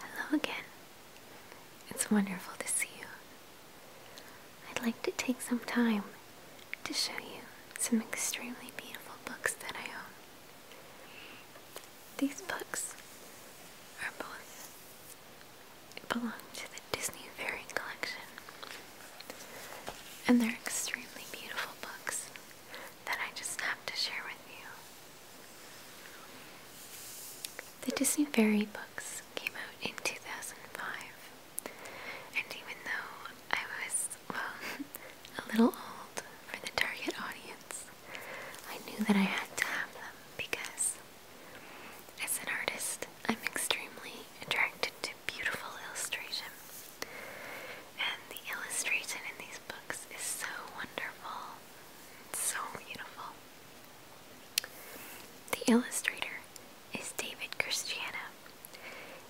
Hello again. It's wonderful to see you. I'd like to take some time to show you some extremely beautiful books that I own. These books are both belong to the Disney Fairy Collection, and they're extremely beautiful books that I just have to share with you. The Disney Fairy books came out in 2005, and even though I was, well, a little old for the target audience, I knew that I had to have them because, as an artist, I'm extremely attracted to beautiful illustration. And the illustration in these books is so wonderful so beautiful. The illustrator is David Christiana,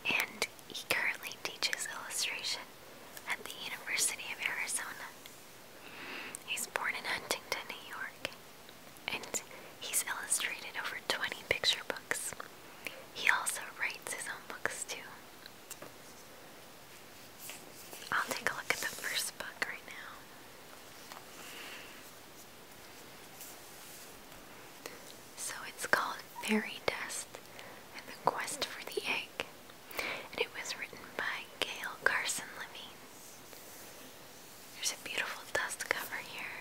and he currently teaches illustration at the University of Arizona. He's born in Huntington, New York, and he's illustrated over 20 picture books. He also writes his own books too. I'll take a look at the first book right now. So it's called Fairy Dust and the Quest for the Egg, and it was written by Gail Carson Levine. There's a beautiful dust cover here.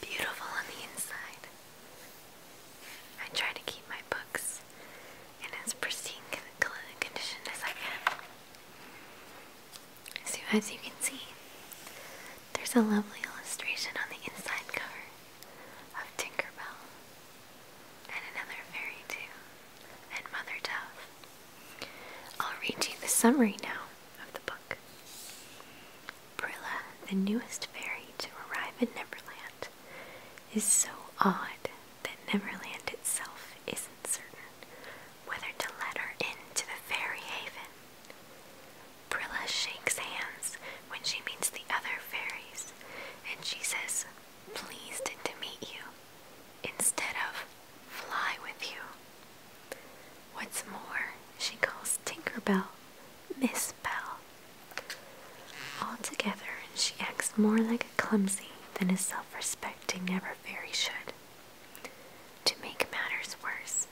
Beautiful on the inside. I try to keep my books in as pristine condition as I can. So, as you can see, there's a lovely illustration on the inside cover of Tinkerbell and another fairy, too and Mother Dove. I'll read you the summary now of the book. Prilla, the newest fairy to arrive in Neverland, is so odd that Neverland itself isn't certain whether to let her into the fairy haven. Prilla shakes hands when she meets the other fairies, and she says, Pleased to meet you instead of fly with you. What's more, she calls Tinker Bell, Miss Bell. Altogether, she acts more like a clumsy than a self respecting ever fairy should. To make matters worse,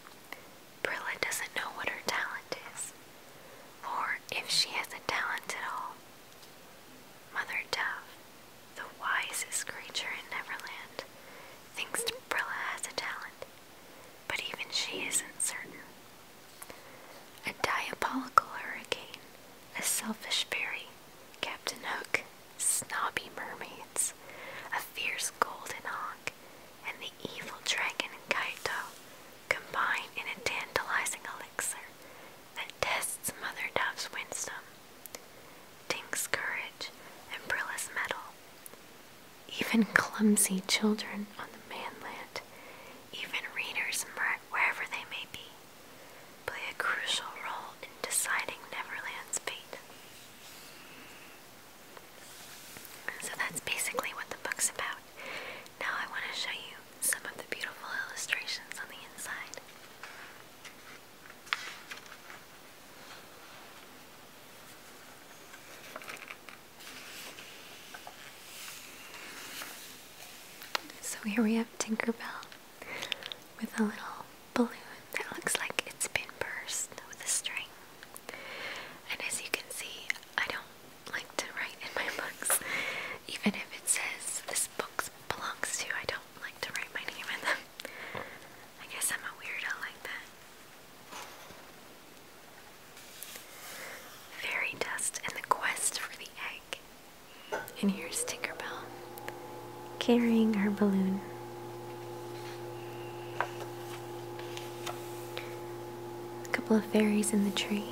Brilla doesn't know what her talent is, or if she has a talent at all. Mother Dove, the wisest creature in Neverland, thinks Brilla has a talent, but even she isn't certain. A diabolical hurricane, a selfish fairy, Captain Hook, snobby mermaids, a fierce golden hawk, and the evil dragon Kaito combine in a tantalizing elixir that tests Mother Dove's wisdom, Tink's courage, and Brilla's metal. Even clumsy children on the mainland, even readers wherever they may be, play a crucial role in deciding Neverland's fate. So that's basically what the book's about. Now I want to show you some of the beautiful illustrations on the inside. So here we have Tinkerbell with a little balloon that looks like it's been burst with a string. And as you can see, I don't like to write in my books, even if it says this book belongs to. I don't like to write my name in them. I guess I'm a weirdo like that. Fairy dust and the quest for the egg. And here's Tinkerbell carrying her balloon a couple of fairies in the tree.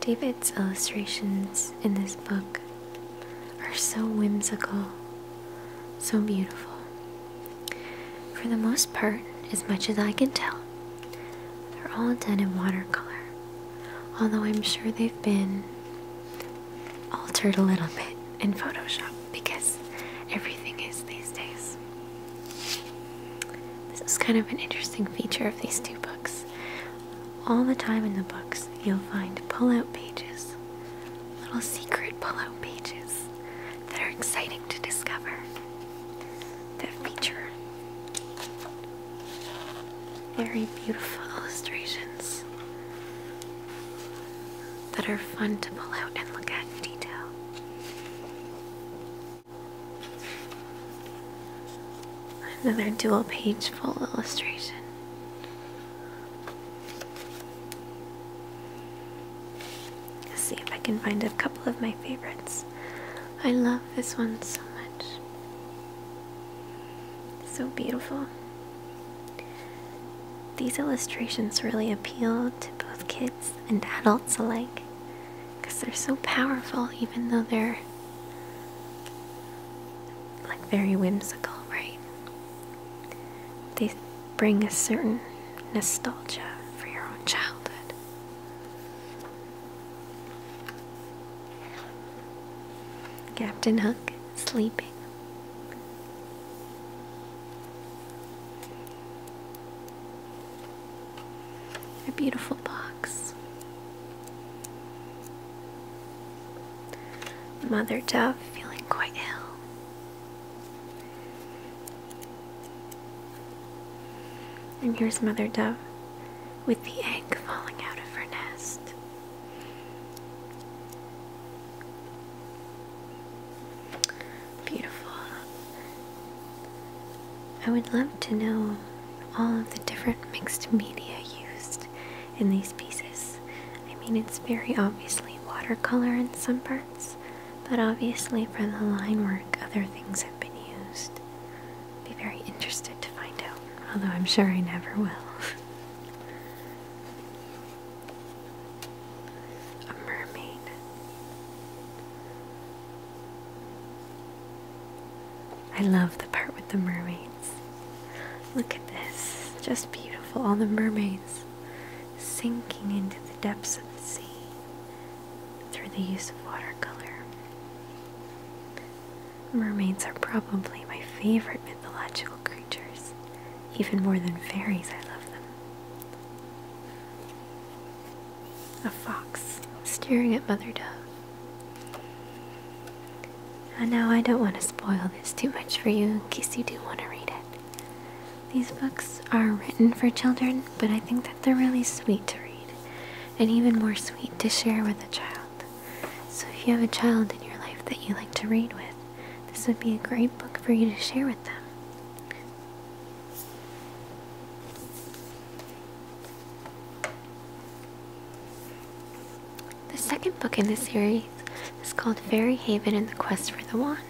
David's illustrations in this book are so whimsical, so beautiful. For the most part, as much as I can tell, they're all done in watercolor, although I'm sure they've been altered a little bit in Photoshop because everything is these days. This is kind of an interesting feature of these two books. All the time in the books, you'll find pull out pages, little secret pull out pages that are exciting to discover, that feature very beautiful illustrations that are fun to pull out and look at in detail. Another dual page full illustration. Let's see if I can find a couple of my favorites. I love this one so much. So beautiful. These illustrations really appeal to both kids and adults alike because they're so powerful, even though they're like very whimsical, right? They bring a certain nostalgia for your own childhood. Captain Hook sleeping. A beautiful box. Mother Dove feeling quite ill. And here's Mother Dove with the egg falling out of her nest. Beautiful. I would love to know all of the different mixed media used in these pieces. I mean, it's very obviously watercolor in some parts, but obviously for the line work, other things have been used. I'd be very interested to find out, although I'm sure I never will. a mermaid. I love the part with the mermaids. Look at this, just beautiful. All the mermaids sinking into the depths of the sea through the use of watercolor. Mermaids are probably my favorite mythological creatures, even more than fairies. I love them. A fox staring at Mother Dove. And now I don't want to spoil this too much for you in case you do want to read it. These books are written for children, but I think that they're really sweet to read, and even more sweet to share with a child. So if you have a child in your life that you like to read with, this would be a great book for you to share with them. The second book in the series is called Fairy Haven and the Quest for the Wand,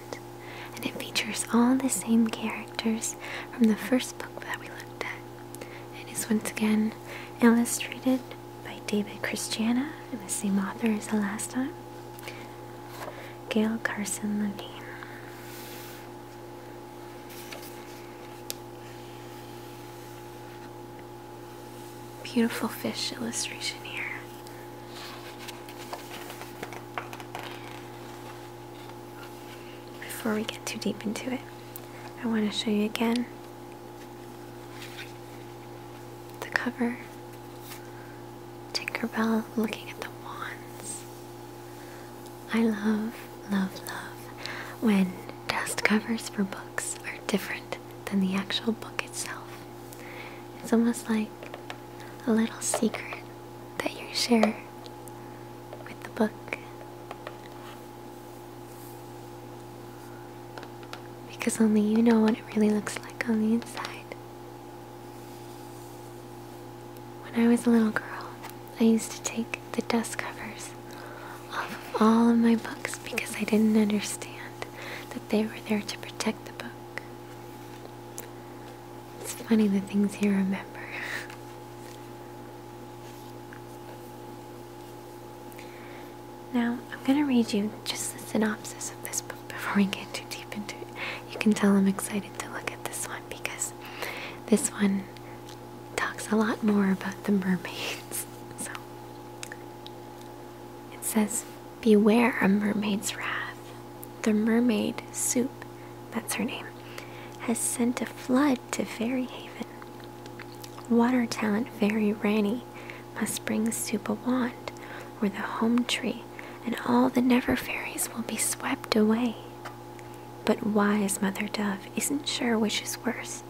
and it features all the same characters from the first book that we looked at. It is once again illustrated by David Christiana, and the same author as the last time. Gail Carson Levine. Beautiful fish illustration here. Before we get too deep into it, I want to show you again the cover Tinkerbell looking at the wands. I love, love, love when dust covers for books are different than the actual book itself. It's almost like a little secret that you share with the book. Because only you know what it really looks like on the inside. When I was a little girl, I used to take the dust covers off all of my books because I didn't understand that they were there to protect the book. It's funny the things you remember. Now, I'm going to read you just the synopsis of this book before we get too deep into it. You can tell I'm excited to look at this one because this one talks a lot more about the mermaids. So, it says, Beware a mermaid's wrath. The mermaid Soup, that's her name, has sent a flood to Fairy Haven. Water talent fairy Rani must bring soup a wand, or the home tree, and all the never fairies will be swept away. But wise Mother Dove isn't sure which is worse,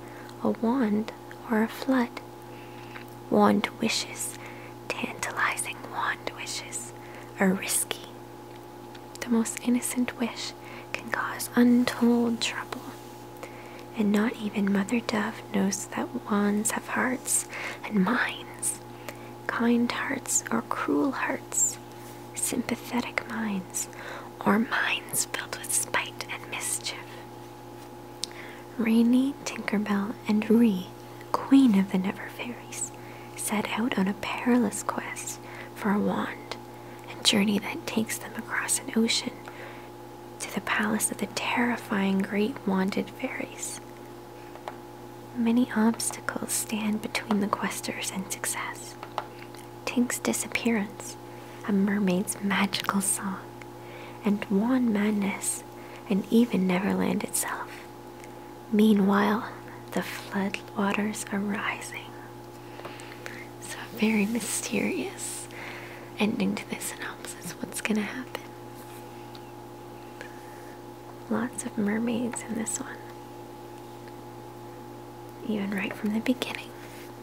a wand or a flood. Wand wishes, tantalizing wand wishes, are risky. The most innocent wish can cause untold trouble and not even Mother Dove knows that wands have hearts and minds, kind hearts or cruel hearts, sympathetic minds, or minds filled with spite and mischief. Rainy, Tinkerbell, and Ree, Queen of the Never Fairies, set out on a perilous quest for a wand, a journey that takes them across an ocean to the palace of the terrifying great wanted fairies. Many obstacles stand between the questers and success. Tink's disappearance, a mermaid's magical song, and Wan Madness, and even Neverland itself. Meanwhile, the flood waters are rising. So, a very mysterious ending to this novel. That's what's gonna happen. Lots of mermaids in this one. Even right from the beginning,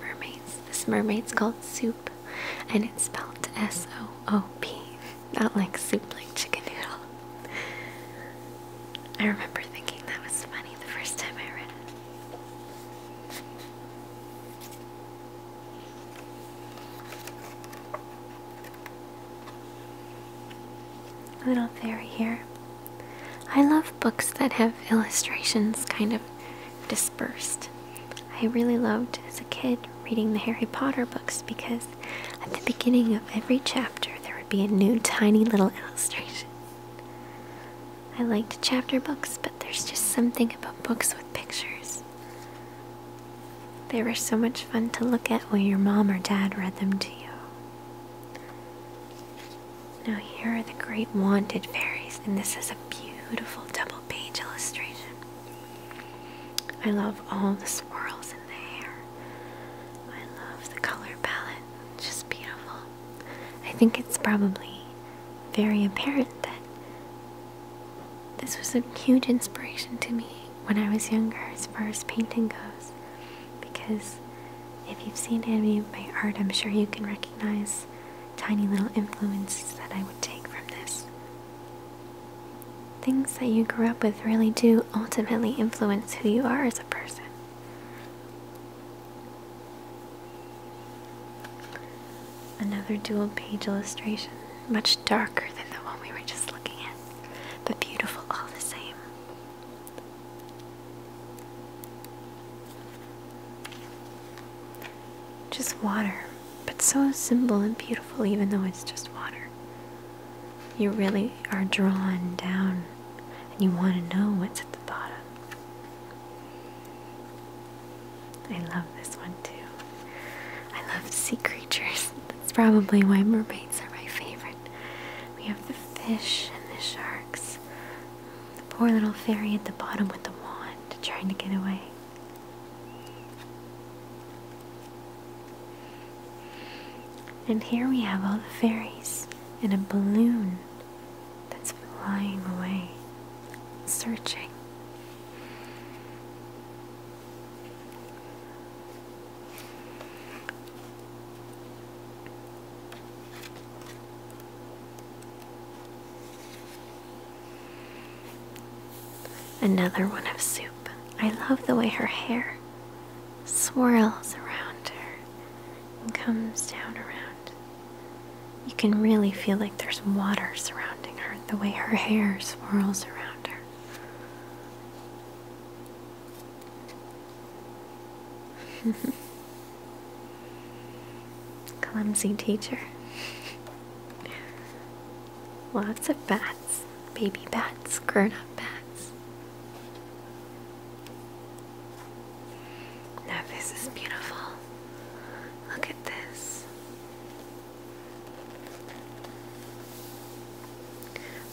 mermaids. This mermaid's called Soup, and it's spelled S O O P, not like soup like chicken noodle. I remember thinking that was funny the first time I read it. Little fairy here. I love books that have illustrations kind of dispersed. I really loved as a kid reading the Harry Potter books because at the beginning of every chapter there would be a new tiny little illustration. I liked chapter books, but there's just something about books with pictures. They were so much fun to look at when your mom or dad read them to you. Now, here are the great wanted fairies, and this is a beautiful double page illustration. I love all the swirls in the hair, I love the color palette, just beautiful. I think it's probably very apparent that this was a huge inspiration to me when I was younger as far as painting goes. Because if you've seen any of my art, I'm sure you can recognize tiny little influences that I would take from this. Things that you grew up with really do ultimately influence who you are as a person. Another dual page illustration, much darker than the one we were just looking at, but beautiful all the same. Just water, but so simple and beautiful, even though it's just water. You really are drawn down and you want to know what's at the bottom. I love this one too. I love sea creatures. That's probably why mermaids are my favorite. We have the fish and the sharks. The poor little fairy at the bottom with the wand trying to get away. And here we have all the fairies in a balloon that's flying away, searching. Another one of soup. I love the way her hair swirls around her and comes down around you can really feel like there's water surrounding her, the way her hair swirls around her. Clumsy teacher. Lots of bats, baby bats, grown up bats. Now, this is beautiful. Look at this.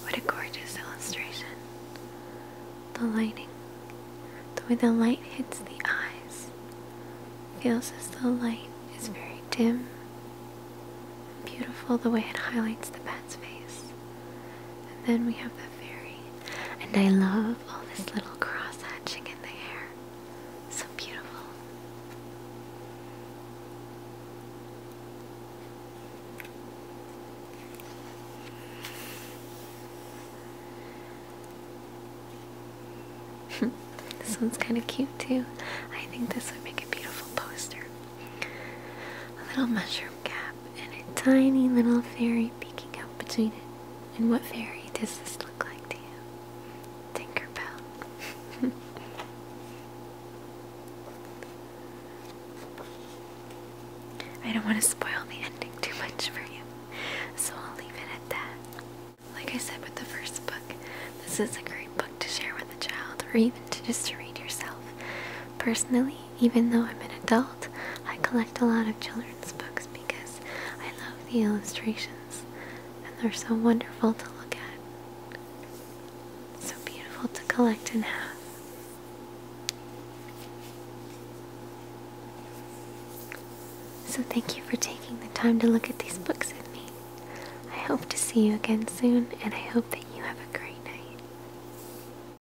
What a gorgeous illustration. The lighting, the way the light hits the eyes, feels as though light is very dim. Beautiful the way it highlights the bat's face. And then we have the fairy. And I love all this little cross hatching in the hair. So beautiful. this one's kind of cute too. I think this would make a beautiful poster. A little mushroom cap and a tiny little fairy peeking out between it. And what fairy does this look like to you? Tinkerbell. I don't want to spoil the ending too much for you, so I'll leave it at that. Like I said with the first book, this is a great book to share with a child or even to just to read yourself. Personally, even though I'm an adult, I collect a lot of children's books because I love the illustrations and they're so wonderful to look at. So beautiful to collect and have. So thank you for taking the time to look at these books with me. I hope to see you again soon and I hope that you have a great night.